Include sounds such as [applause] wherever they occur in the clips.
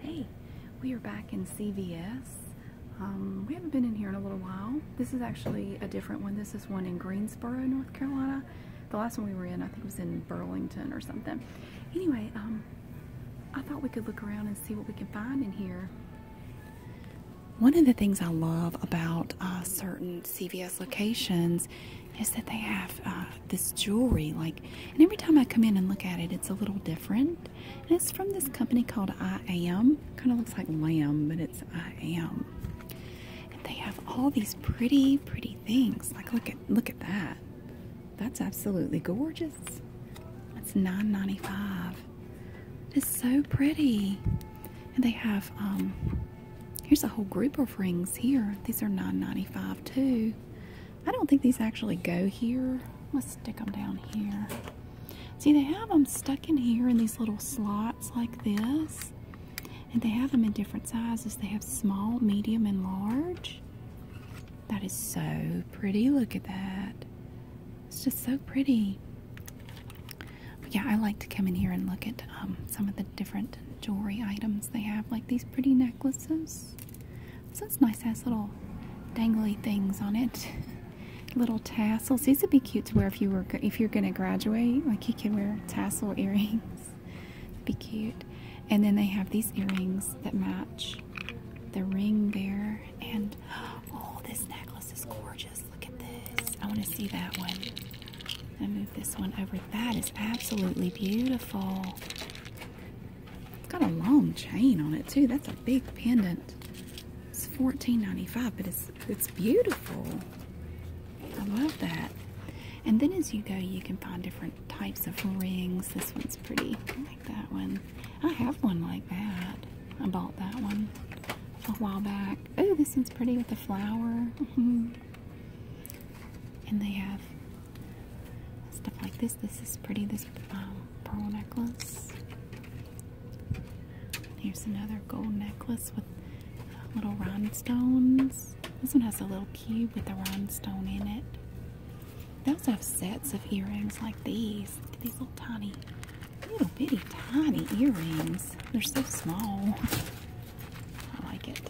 Hey, we are back in CVS. Um, we haven't been in here in a little while. This is actually a different one. This is one in Greensboro, North Carolina. The last one we were in, I think was in Burlington or something. Anyway, um, I thought we could look around and see what we can find in here. One of the things I love about uh, certain CVS locations is that they have uh, this jewelry like and every time I come in and look at it it's a little different and it's from this company called I Am kind of looks like lamb but it's I Am and they have all these pretty pretty things like look at look at that that's absolutely gorgeous that's 9.95. it's so pretty and they have um here's a whole group of rings here these are 9.95 too I don't think these actually go here. Let's stick them down here. See, they have them stuck in here in these little slots like this. And they have them in different sizes. They have small, medium, and large. That is so pretty. Look at that. It's just so pretty. But yeah, I like to come in here and look at um, some of the different jewelry items they have, like these pretty necklaces. So it's nice, has little dangly things on it. [laughs] little tassels. These would be cute to wear if you were if you're gonna graduate. Like you can wear tassel [laughs] earrings. be cute. And then they have these earrings that match the ring there. And [gasps] oh, this necklace is gorgeous. Look at this. I want to see that one. I move this one over. That is absolutely beautiful. It's got a long chain on it too. That's a big pendant. It's $14.95, but it's it's beautiful. I love that. And then as you go, you can find different types of rings. This one's pretty. I like that one. I have one like that. I bought that one a while back. Oh, this one's pretty with the flower. [laughs] Mm-hmm and they have stuff like this. This is pretty. This um, pearl necklace. Here's another gold necklace with uh, little rhinestones. This one has a little key with a rhinestone in it. They also have sets of earrings like these. Look at these little tiny, little bitty tiny earrings. They're so small. [laughs] I like it.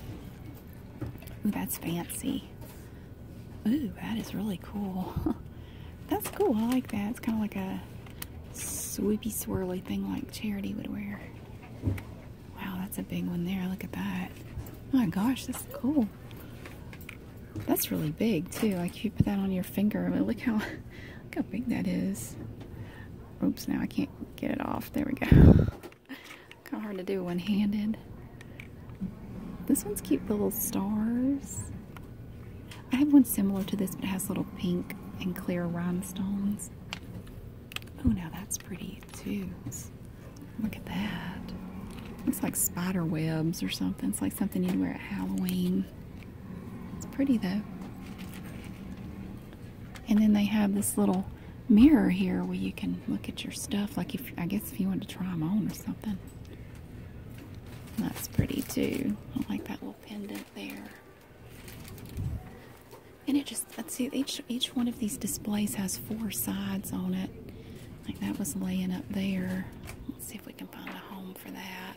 That's fancy. Ooh, that is really cool. [laughs] That's cool. I like that. It's kind of like a swoopy swirly thing like Charity would wear. Wow, that's a big one there. Look at that. Oh my gosh, that's cool. That's really big too. Like if you put that on your finger, I mean, look how [laughs] look how big that is. Oops, now I can't get it off. There we go. [laughs] kind of hard to do one-handed. This one's cute, the little stars. I have one similar to this, but it has little pink and clear rhinestones. Oh, now that's pretty too. Look at that. Looks like spider webs or something. It's like something you'd wear at Halloween. It's pretty though. And then they have this little mirror here where you can look at your stuff. Like if I guess if you want to try them on or something. That's pretty too. I like that little pendant there. And it just let's see each each one of these displays has four sides on it. Like that was laying up there. see if we can find a home for that.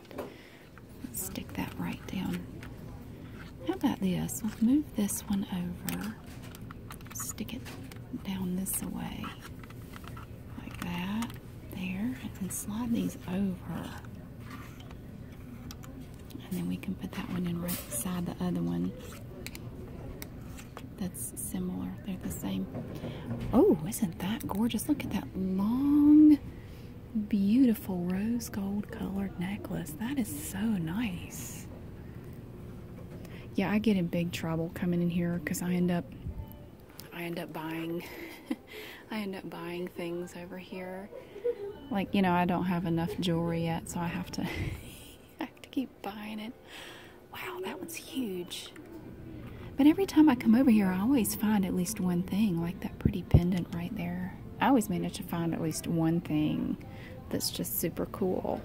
Let's stick that right down. How about this? Let's move this one over stick it down this way like that there and then slide these over and then we can put that one in right beside the other one that's similar they're the same oh isn't that gorgeous look at that long beautiful rose gold colored necklace that is so nice yeah, I get in big trouble coming in here because I end up I end up buying [laughs] I end up buying things over here. Like, you know, I don't have enough jewelry yet, so I have to [laughs] I have to keep buying it. Wow, that one's huge. But every time I come over here, I always find at least one thing, like that pretty pendant right there. I always manage to find at least one thing that's just super cool.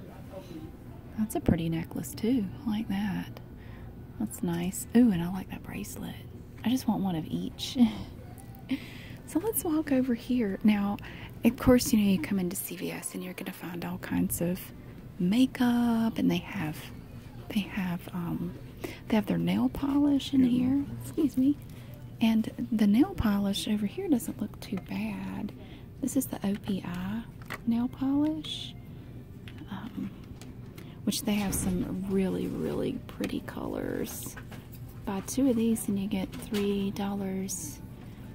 That's a pretty necklace too. like that. That's nice. Ooh, and I like that bracelet. I just want one of each. [laughs] so let's walk over here. Now, of course, you know, you come into CVS and you're going to find all kinds of makeup and they have they have um, they have their nail polish in here excuse me and the nail polish over here doesn't look too bad this is the OPI nail polish, um, which they have some really, really pretty colors. Buy two of these and you get $3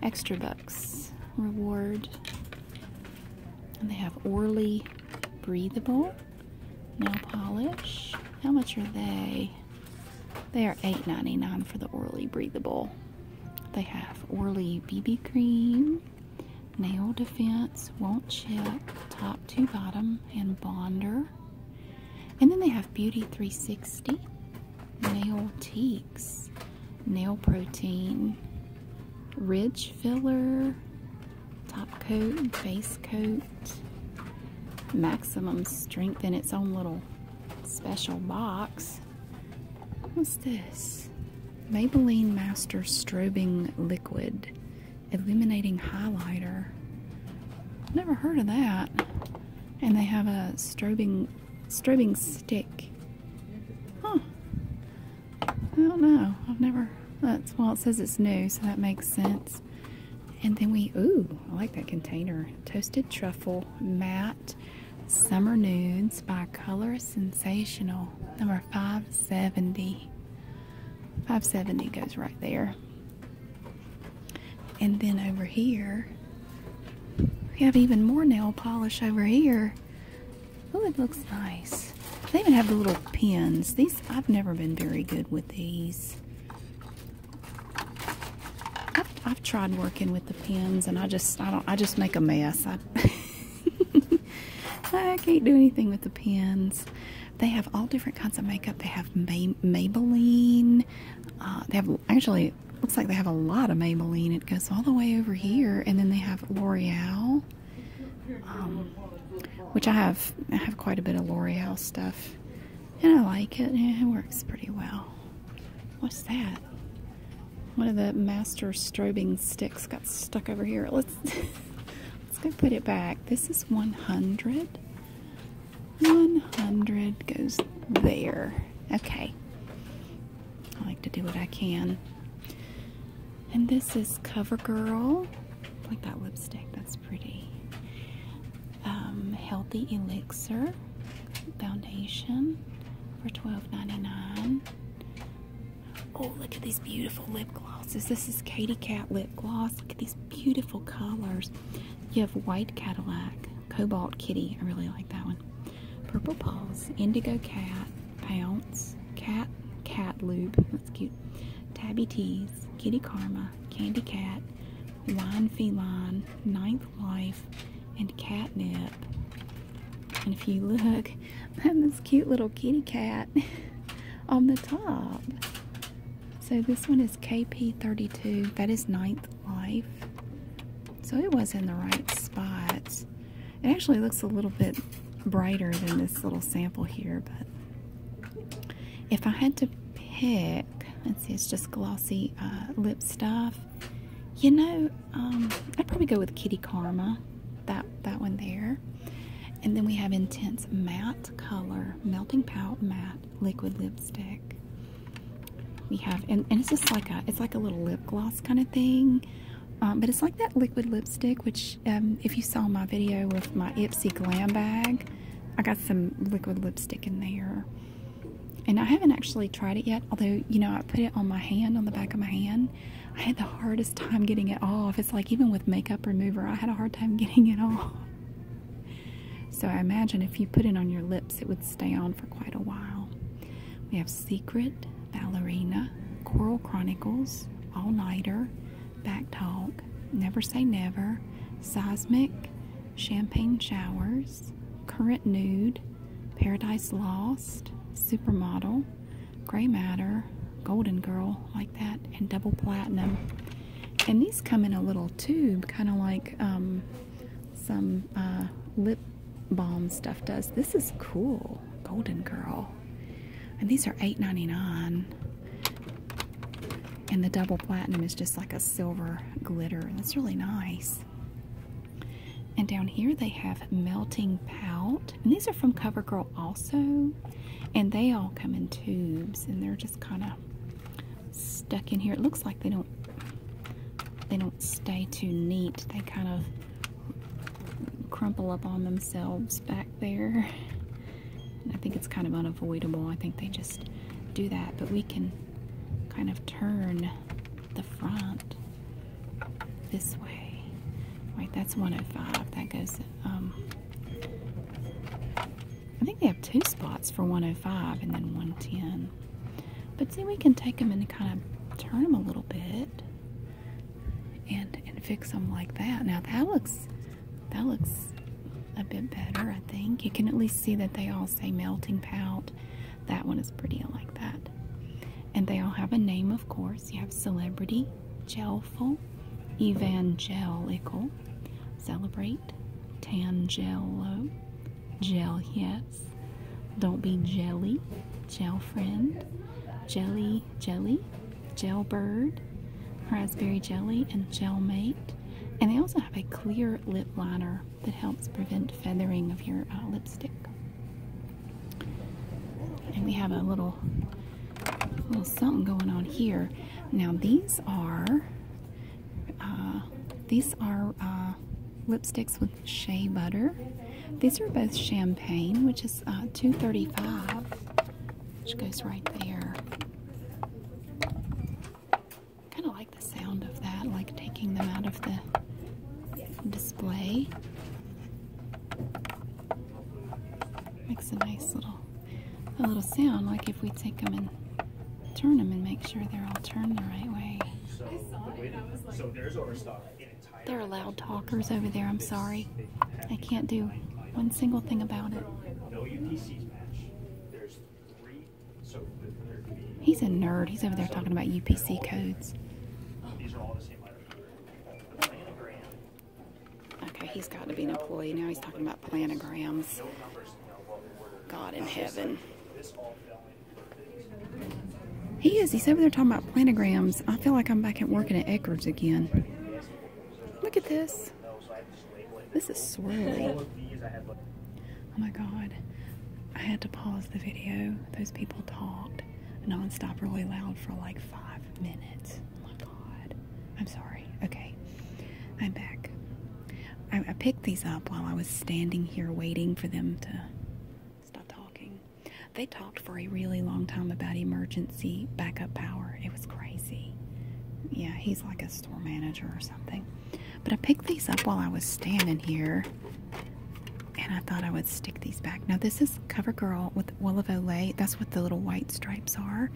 extra bucks reward. And they have Orly Breathable nail polish. How much are they? They are eight ninety nine for the Orly Breathable. They have Orly BB Cream, Nail Defense, Won't Chip, Top to Bottom, and Bonder. And then they have Beauty 360, Nail Teaks, Nail Protein, Ridge Filler, Top Coat, Base Coat, Maximum Strength in its own little special box. What's this? Maybelline Master Strobing Liquid Illuminating Highlighter. Never heard of that. And they have a strobing strobing stick. Huh. I don't know. I've never that's well it says it's new, so that makes sense. And then we ooh, I like that container. Toasted truffle matte Summer Nudes by Color Sensational, number 570. 570 goes right there. And then over here, we have even more nail polish over here. Oh, it looks nice. They even have the little pins. These, I've never been very good with these. I've, tried working with the pens, and I just I don't I just make a mess. I, [laughs] I can't do anything with the pens. They have all different kinds of makeup. They have May, Maybelline. Uh, they have actually looks like they have a lot of Maybelline. It goes all the way over here, and then they have L'Oreal, um, which I have I have quite a bit of L'Oreal stuff, and I like it. Yeah, it works pretty well. What's that? one of the master strobing sticks got stuck over here. Let's [laughs] let's go put it back. This is 100. 100 goes there. Okay. I like to do what I can. And this is CoverGirl. I like that lipstick. That's pretty. Um, healthy Elixir foundation for $12.99. Oh, look at these beautiful lip glosses. This is Katy Cat lip gloss. Look at these beautiful colors. You have White Cadillac, Cobalt Kitty. I really like that one. Purple Paws, Indigo Cat, Pounce, Cat, Cat Lube. That's cute. Tabby Tease, Kitty Karma, Candy Cat, Wine Feline, Nine Life and catnip. And if you look, I [laughs] have this cute little kitty cat [laughs] on the top. So this one is KP32. That is ninth life. So it was in the right spot. It actually looks a little bit brighter than this little sample here, but if I had to pick, let's see, it's just glossy uh, lip stuff. You know, um, I'd probably go with Kitty Karma, that that one there. And then we have Intense Matte Color, Melting Pout Matte Liquid Lipstick. We have, and, it's just like a, it's like a little lip gloss kind of thing. Um, but it's like that liquid lipstick, which um, if you saw my video with my Ipsy Glam Bag, I got some liquid lipstick in there and I haven't actually tried it yet, although, you know, I put it on my hand, on the back of my hand. I had the hardest time getting it off. It's like even with makeup remover, I had a hard time [laughs] getting it off. So I imagine if you put it on your lips, it would stay on for quite a while. We have Secret, Ballerina, Coral Chronicles, All Nighter, Back Talk, Never Say Never, Seismic, Champagne Showers, Current Nude, Paradise Lost, Supermodel, Grey Matter, Golden Girl, like that, and Double Platinum. And these come in a little tube, kind of like um, some uh, lip balm stuff does. This is cool, Golden Girl. And these are eight ninety nine. And the double platinum is just like a silver glitter. and That's really nice. And down here they have melting pout. And these are from CoverGirl also. And they all come in tubes and they're just kind of stuck in here. It looks like they don't they don't stay too neat. They kind of crumple up on themselves back there. I think it's kind of unavoidable. I think they just do that. But we can kind of turn the front this way. Wait, that's 105. That goes, um, I think they have two spots for 105 and then 110. But see, we can take them and kind of turn them a little bit and fix them like that. Now that looks, that looks a bit better, I think. You can at least see that they all say melting pout that one is pretty. I like that. And they all have a name, of course. You have celebrity, gelful, evangelical, celebrate, tangelo, gel yes, don't be jelly, gel friend, jelly jelly, gelbird, raspberry jelly, and gelmate. And they also have a clear lip liner that helps prevent feathering of your uh, lipstick. And we have a little, little something going on here. Now these are, uh, these are uh, lipsticks with shea butter. These are both champagne, which is two thirty-five, which goes right there kind of like the sound of that, like taking them out of the display. Makes a nice little a little sound, like if we take them and turn them and make sure they're all turned the right way. There are loud talkers over there, I'm sorry. I can't do one single thing about it. He's a nerd. He's over there talking about UPC codes. Okay, he's got to be an employee. Now he's talking about planograms. God in heaven. He is. He's over there talking about planograms. I feel like I'm back at working at Eckerd's again. Look at this. This is swirling. Oh my god. I had to pause the video. Those people talked nonstop really loud for like five minutes. Oh my god. I'm sorry. Okay. I'm back. I, I picked these up while I was standing here waiting for them to stop talking. They talked for a really long time about emergency backup power. It was crazy. Yeah, he's like a store manager or something. But I picked these up while I was standing here and I thought I would stick these back. Now, this is CoverGirl with Wool of That's what the little white stripes are.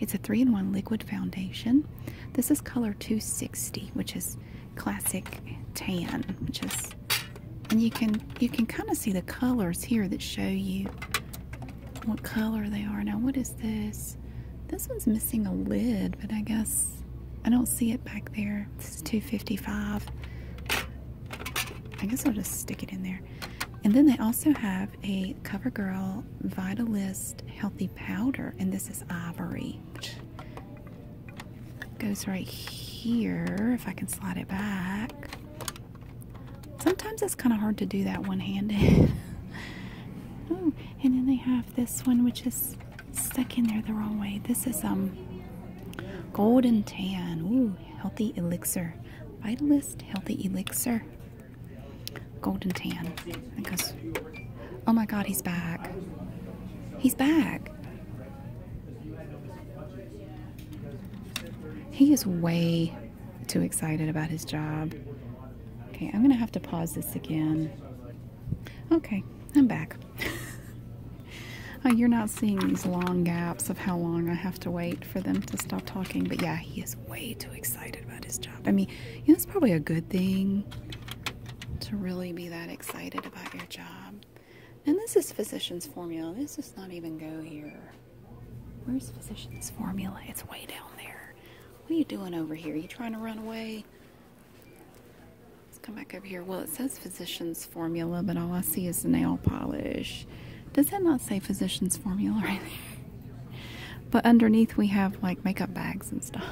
It's a three in one liquid foundation. This is color 260, which is classic tan, which is and you can you can kind of see the colors here that show you what color they are now what is this this one's missing a lid, but I guess I don't see it back there. This is 255. I guess I'll just stick it in there. And then they also have a CoverGirl Vitalist Healthy Powder, and this is ivory. Goes right here if I can slide it back. Sometimes it's kind of hard to do that one handed. [laughs] oh, and then they have this one which is stuck in there the wrong way. This is um golden tan. Ooh, healthy elixir. Vitalist healthy elixir. Golden tan. Because oh my god, he's back. He's back. He is way too excited about his job. Okay, I'm gonna have to pause this again. Okay, I'm back. [laughs] Oh, you're not seeing these long gaps of how long I have to wait for them to stop talking, but yeah, he is way too excited about his job. I mean, you know, it's probably a good thing to really be that excited about your job. And this is physician's formula. This does not even go here. Where's physician's formula? It's way down there. What are you doing over here? you trying to run away? Let's come back up here. Well, it says physician's formula, but all I see is nail polish. Does that not say physician's formula right there? [laughs] But underneath we have like makeup bags and stuff.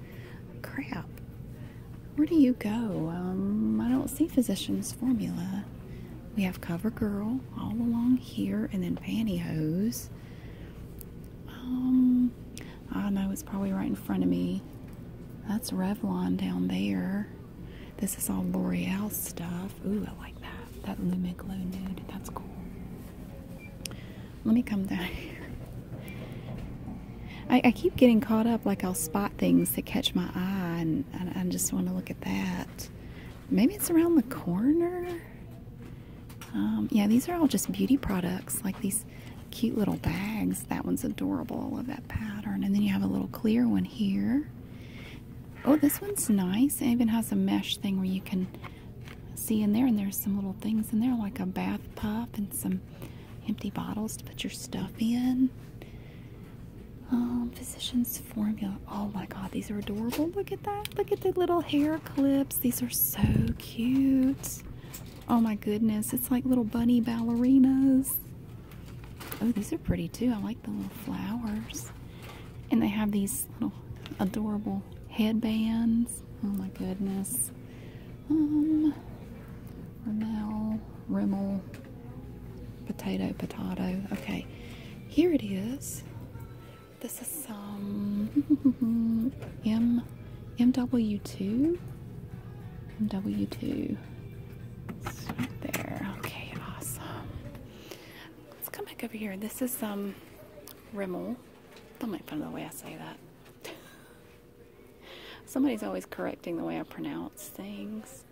[laughs] Crap. Where do you go? Um, I don't see physician's formula. We have CoverGirl all along here, and then pantyhose. Um, I know it's probably right in front of me. That's Revlon down there. This is all L'Oreal stuff. Ooh, I like that. That Lumi Glow nude. That's cool. Let me come down [laughs] here. I, keep getting caught up. Like I'll spot things that catch my eye, and I, just want to look at that. Maybe it's around the corner. Um, yeah, these are all just beauty products, like these cute little bags. That one's adorable. I love that pattern. And then you have a little clear one here. Oh, this one's nice. It even has a mesh thing where you can see in there. And there's some little things in there, like a bath puff and some empty bottles to put your stuff in. Um, physician's formula. Oh my god, these are adorable. Look at that. Look at the little hair clips. These are so cute. Oh my goodness, it's like little bunny ballerinas. Oh, these are pretty too. I like the little flowers. And they have these little adorable headbands. Oh my goodness. Um, Rimmel, Rimmel, potato, potato. Okay, here it is. This is some um, [laughs] MW2? MW2. right there. Okay, awesome. Let's come back over here. This is some um, Rimmel. Don't make fun of the way I say that. [laughs] Somebody's always correcting the way I pronounce things.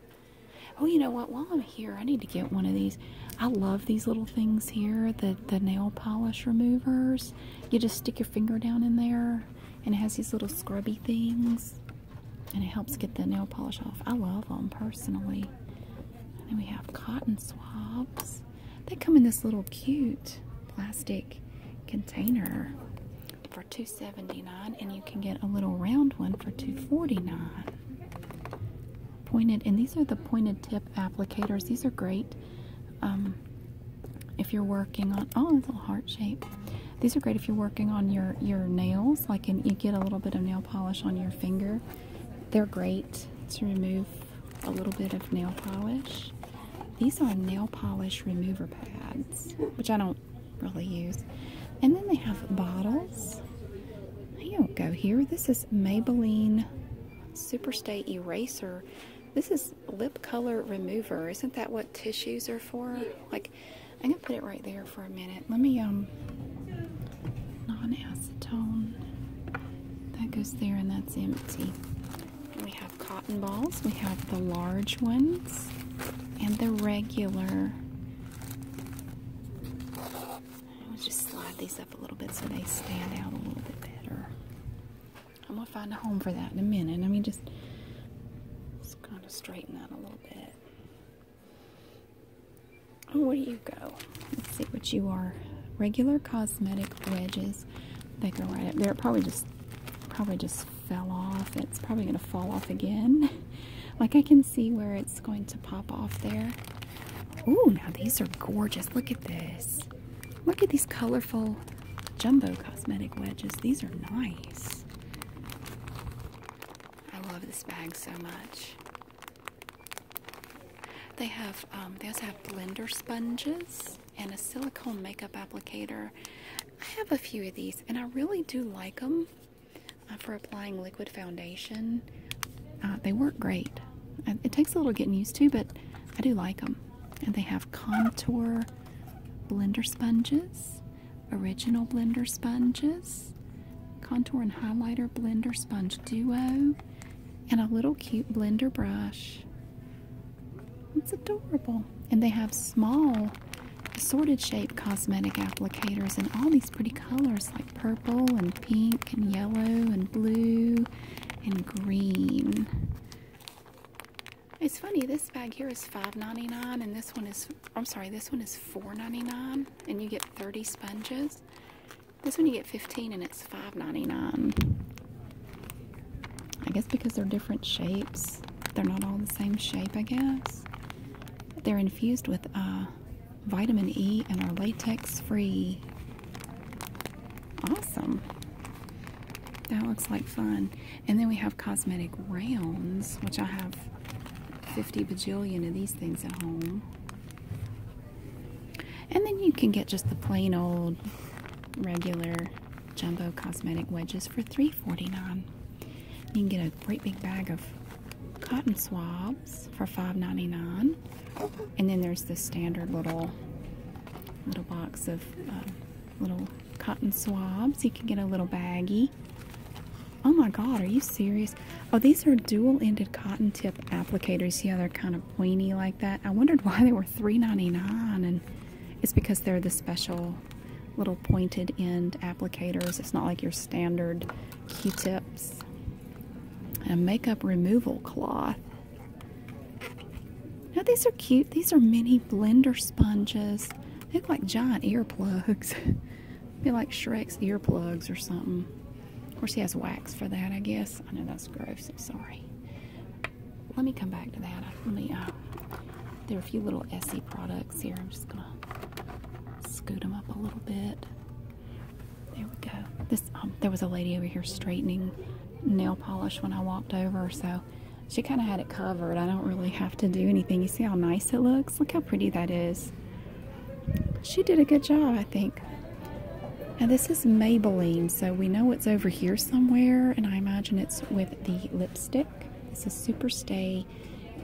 Oh, you know what? While I'm here, I need to get one of these. I love these little things here, the, the nail polish removers you just stick your finger down in there and it has these little scrubby things and it helps get the nail polish off. I love them personally. then we have cotton swabs. They come in this little cute plastic container for $2.79 and you can get a little round one for $2.49. Pointed and these are the pointed tip applicators. These are great um, if you're working on oh a little heart shape these are great if you're working on your your nails like and you get a little bit of nail polish on your finger they're great to remove a little bit of nail polish these are nail polish remover pads which i don't really use and then they have bottles i don't go here this is maybelline super stay eraser this is lip color remover. Isn't that what tissues are for? Like, I'm gonna put it right there for a minute. Let me, um, non-acetone. That goes there and that's empty. we have cotton balls. We have the large ones and the regular. I'll just slide these up a little bit so they stand out a little bit better. I'm gonna find a home for that in a minute. Let me just just kind of straighten that a little bit. Oh, where do you go? Let's see what you are. Regular cosmetic wedges. They go right up there. probably just probably just fell off. It's probably gonna fall off again. [laughs] like I can see where it's going to pop off there. Ooh, now these are gorgeous. Look at this. Look at these colorful jumbo cosmetic wedges. These are nice. I love this bag so much. They have um, they also have blender sponges and a silicone makeup applicator. I have a few of these and I really do like them uh, for applying liquid foundation. Uh, they work great. It takes a little getting used to, but I do like them. And they have contour blender sponges, original blender sponges, contour and highlighter blender sponge duo, and a little cute blender brush. It's adorable. And they have small assorted shape cosmetic applicators in all these pretty colors like purple and pink and yellow and blue and green. It's funny, this bag here is $5.99 and this one is I'm sorry, this one is $4.99 and you get 30 sponges. This one you get 15 and it's $5.99. I guess because they're different shapes. They're not all the same shape, I guess. They're infused with uh, vitamin E and are latex free. Awesome. That looks like fun. And then we have cosmetic rounds, which I have 50 bajillion of these things at home. And then you can get just the plain old regular jumbo cosmetic wedges for three forty-nine. You can get a great big bag of cotton swabs for five ninety-nine. And then there's the standard little little box of um, little cotton swabs. You can get a little baggy. Oh my god, are you serious? Oh, these are dual-ended cotton tip applicators. Yeah, they're kind of pointy like that. I wondered why they were $3.99 and it's because they're the special little pointed end applicators. It's not like your standard Q-tips. a makeup removal cloth. Now these are cute. These are mini blender sponges. They look like giant earplugs. [laughs] Be like Shrek's earplugs or something. Of course, he has wax for that, I guess. I know that's gross. i sorry. Let me come back to that. Let me. Uh, there are a few little Essie products here. I'm just gonna scoot them up a little bit. There we go. This um, there was a lady over here straightening nail polish when I walked over, so she kind of had it covered. I don't really have to do anything. You see how nice it looks? Look how pretty that is. She did a good job, I think. Now this is Maybelline, so we know it's over here somewhere, and I imagine it's with the lipstick. This is Stay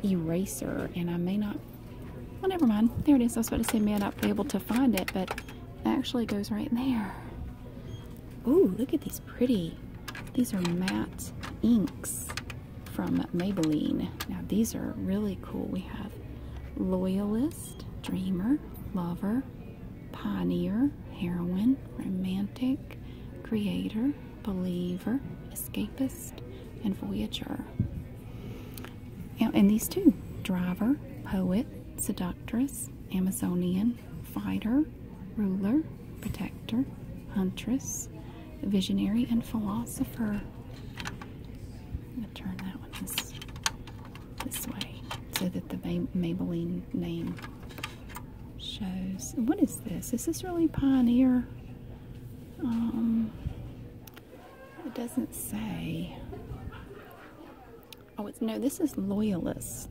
Eraser, and I may not, well, never mind. There it is. I was about to say may not be able to find it, but it actually goes right there. Ooh, look at these pretty. These are matte inks from Maybelline. Now, these are really cool. We have Loyalist, Dreamer, Lover, Pioneer, Heroine, Romantic, Creator, Believer, Escapist, and Voyager. Now and these two Driver, Poet, Seductress, Amazonian, fighter, ruler, protector, huntress, visionary, and philosopher. I'm going to turn that one this, way so that the Maybelline name shows. What is this? Is this really Pioneer? Um, it doesn't say. Oh, it's no, this is Loyalist.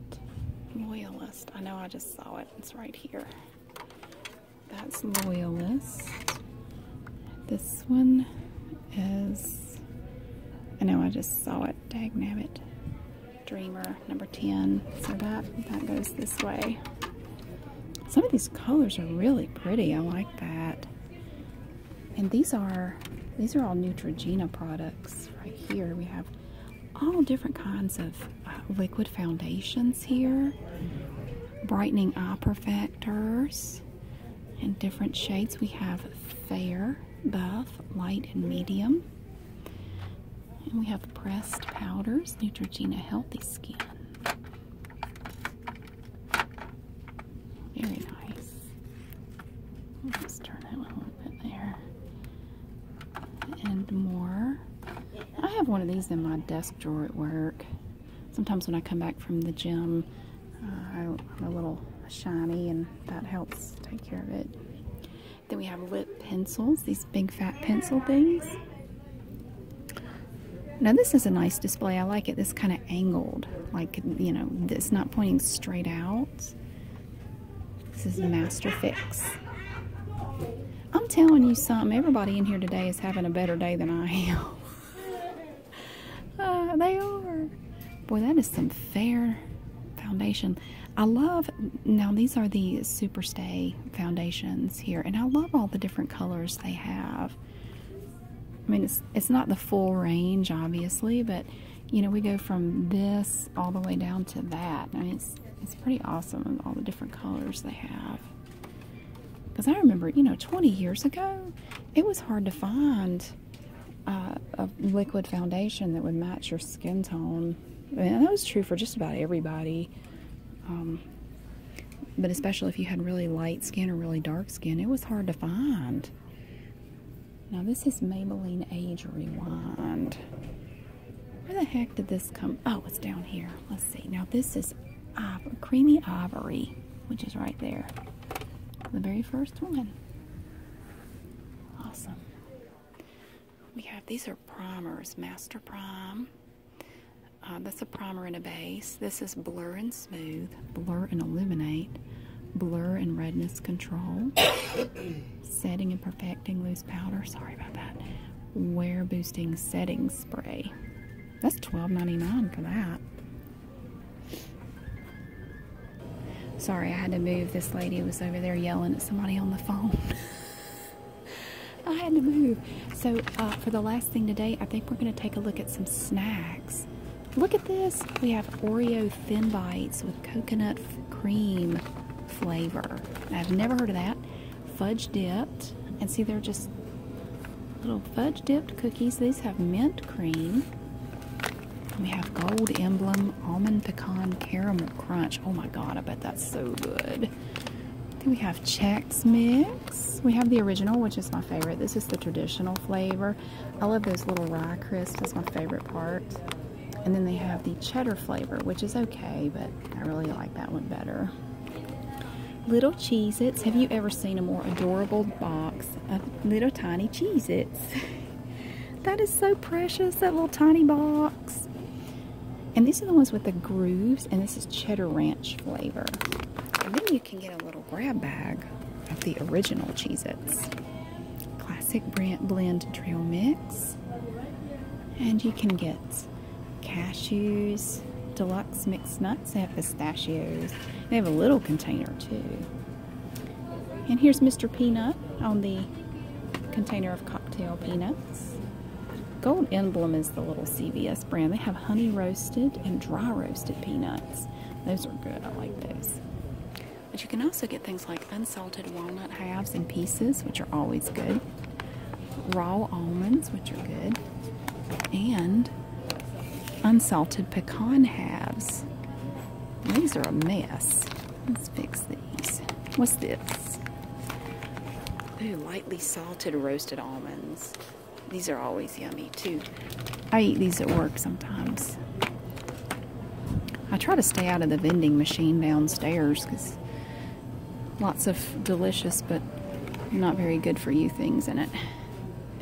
Loyalist. I know I just saw it. It's right here. That's Loyalist. This one is. I know I just saw it. Dag nabbit. Dreamer, number 10. So that, that goes this way. Some of these colors are really pretty. I like that. And these are these are all Neutrogena products right here. We have all different kinds of uh, liquid foundations here, brightening eye perfectors in different shades. We have fair, buff, light, and medium. And we have pressed powders, Neutrogena Healthy Skin. Very nice. I'll turn that a little bit there. And more. I have one of these in my desk drawer at work. Sometimes when I come back from the gym, uh, I'm a little shiny and that helps take care of it. Then we have lip pencils, these big fat pencil things. Now this is a nice display. I like it. This kind of angled, like, you know, it's not pointing straight out. This is the Master Fix. I'm telling you something, everybody in here today is having a better day than I am. [laughs] Uh, they are. Boy, that is some fair foundation. I love, now these are the Superstay foundations here, and I love all the different colors they have. I mean, it's, it's not the full range, obviously, but you know, we go from this all the way down to that. I mean, it's, it's pretty awesome, all the different colors they have. Because I remember, you know, 20 years ago, it was hard to find uh, a liquid foundation that would match your skin tone. And that was true for just about everybody. Um, but especially if you had really light skin or really dark skin, it was hard to find. Now this is Maybelline Age Rewind. Where the heck did this come? Oh, it's down here. Let's see. Now this is ivory, creamy ivory, which is right there. The very first one. Awesome. We have these are primers, Master Prime. Uh, that's a primer and a base. This is Blur and smooth, blur and illuminate, blur and redness control, [coughs] setting and perfecting loose powder. Sorry about that. Wear boosting setting spray. That's $12.99 for that. Sorry, I had to move. This lady was over there yelling at somebody on the phone. [laughs] I had to move. So, uh, for the last thing today, I think we're going to take a look at some snacks. Look at this. We have Oreo Thin Bites with coconut cream flavor. I've never heard of that. Fudge dipped. And see, they're just little fudge dipped cookies. These have mint cream. We have Gold Emblem Almond Pecan Caramel Crunch. Oh my god, I bet that's so good. Then we have Chex Mix. We have the original, which is my favorite. This is the traditional flavor. I love those little rye crisps. That's my favorite part. And then they have the cheddar flavor, which is okay, but I really like that one better. Little Cheez Have you ever seen a more adorable box of little tiny Cheez [laughs] that is so precious, that little tiny box. And these are the ones with the grooves, and this is cheddar ranch flavor. And then you can get a little grab bag of the original Cheez Its. Classic brand blend trail mix. And you can get cashews, deluxe mixed nuts, they have pistachios. They have a little container too. And here's Mr. Peanut on the container of cocktail peanuts. Gold Emblem is the little CVS brand. They have honey roasted and dry roasted peanuts. Those are good. I like those. But you can also get things like unsalted walnut halves and pieces, which are always good, raw almonds, which are good, and unsalted pecan halves. These are a mess. Let's fix these. What's this? Ooh, lightly salted roasted almonds. These are always yummy too. I eat these at work sometimes. I try to stay out of the vending machine downstairs because lots of delicious but not very good for you things in it.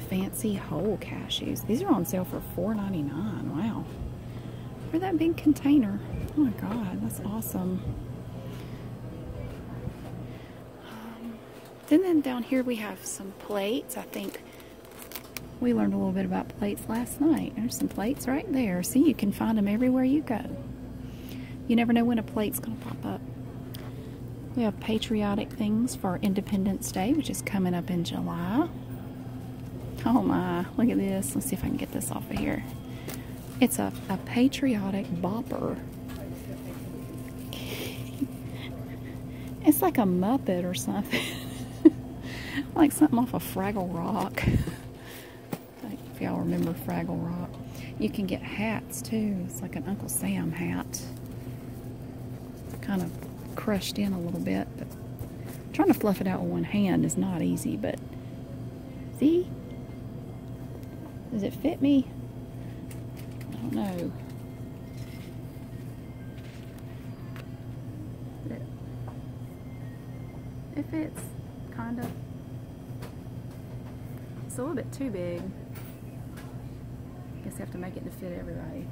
Fancy whole cashews. These are on sale for $4.99. Wow. For that big container. Oh my god, that's awesome. Um, then, then down here we have some plates. I think we learned a little bit about plates last night. There's some plates right there. See, you can find them everywhere you go. You never know when a plate's going to pop up. We have patriotic things for Independence Day, which is coming up in July. Oh my, look at this. Let's see if I can get this off of here. It's a, patriotic bopper. It's like a Muppet or something. [laughs] like something off of Fraggle Rock. [laughs] if y'all remember Fraggle Rock. You can get hats too. It's like an Uncle Sam hat. Kind of crushed in a little bit, but trying to fluff it out with one hand is not easy, but see? Does it fit me? I don't know. If it's kind of. It's a little bit too big. I guess I have to make it to fit everybody.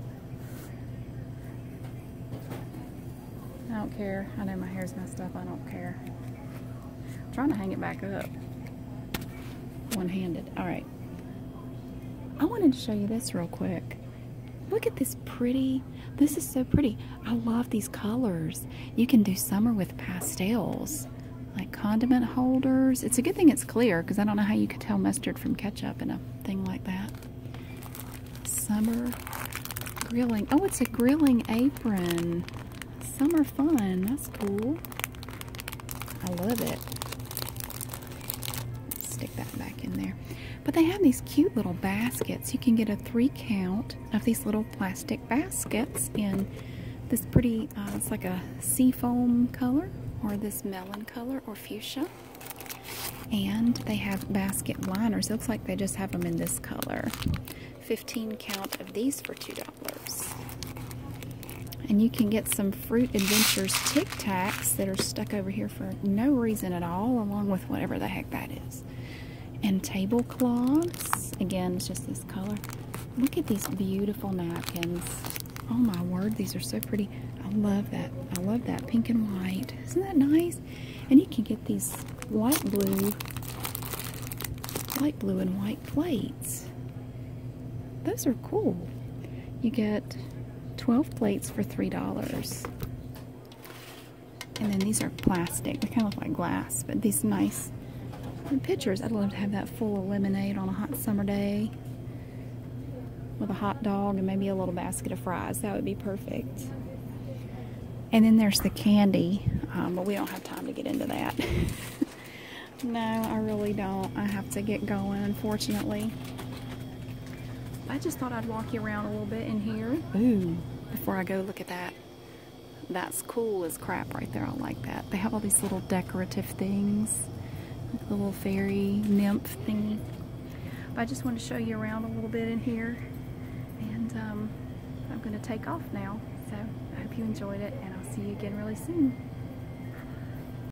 I don't care. I know my hair's messed up. I don't care. I'm trying to hang it back up. One-handed. All right. I wanted to show you this real quick. Look at this pretty. This is so pretty. I love these colors. You can do summer with pastels, like condiment holders. It's a good thing it's clear because I don't know how you could tell mustard from ketchup in a thing like that. Summer grilling. Oh, it's a grilling apron. Summer fun. That's cool. I love it stick that back in there. But they have these cute little baskets. You can get a three count of these little plastic baskets in this pretty, uh, it's like a seafoam color or this melon color or fuchsia. And they have basket liners. It looks like they just have them in this color. 15 count of these for $2. And you can get some Fruit Adventures Tic Tacs that are stuck over here for no reason at all, along with whatever the heck that is. And tablecloths. Again, it's just this color. Look at these beautiful napkins. Oh my word, these are so pretty. I love that. I love that pink and white. Isn't that nice? And you can get these light blue, light blue and white plates. Those are cool. You get 12 plates for $3. And then these are plastic. They kind of look like glass, but these nice pitchers. I'd love to have that full of lemonade on a hot summer day with a hot dog and maybe a little basket of fries. That would be perfect. And then there's the candy, um, but we don't have time to get into that. [laughs] no, I really don't. I have to get going, unfortunately. I just thought I'd walk you around a little bit in here. Ooh, before I go, look at that. That's cool as crap right there. I like that. They have all these little decorative things. Like little fairy nymph thingy. I just want to show you around a little bit in here. And um, I'm going to take off now. So I hope you enjoyed it, and I'll see you again really soon.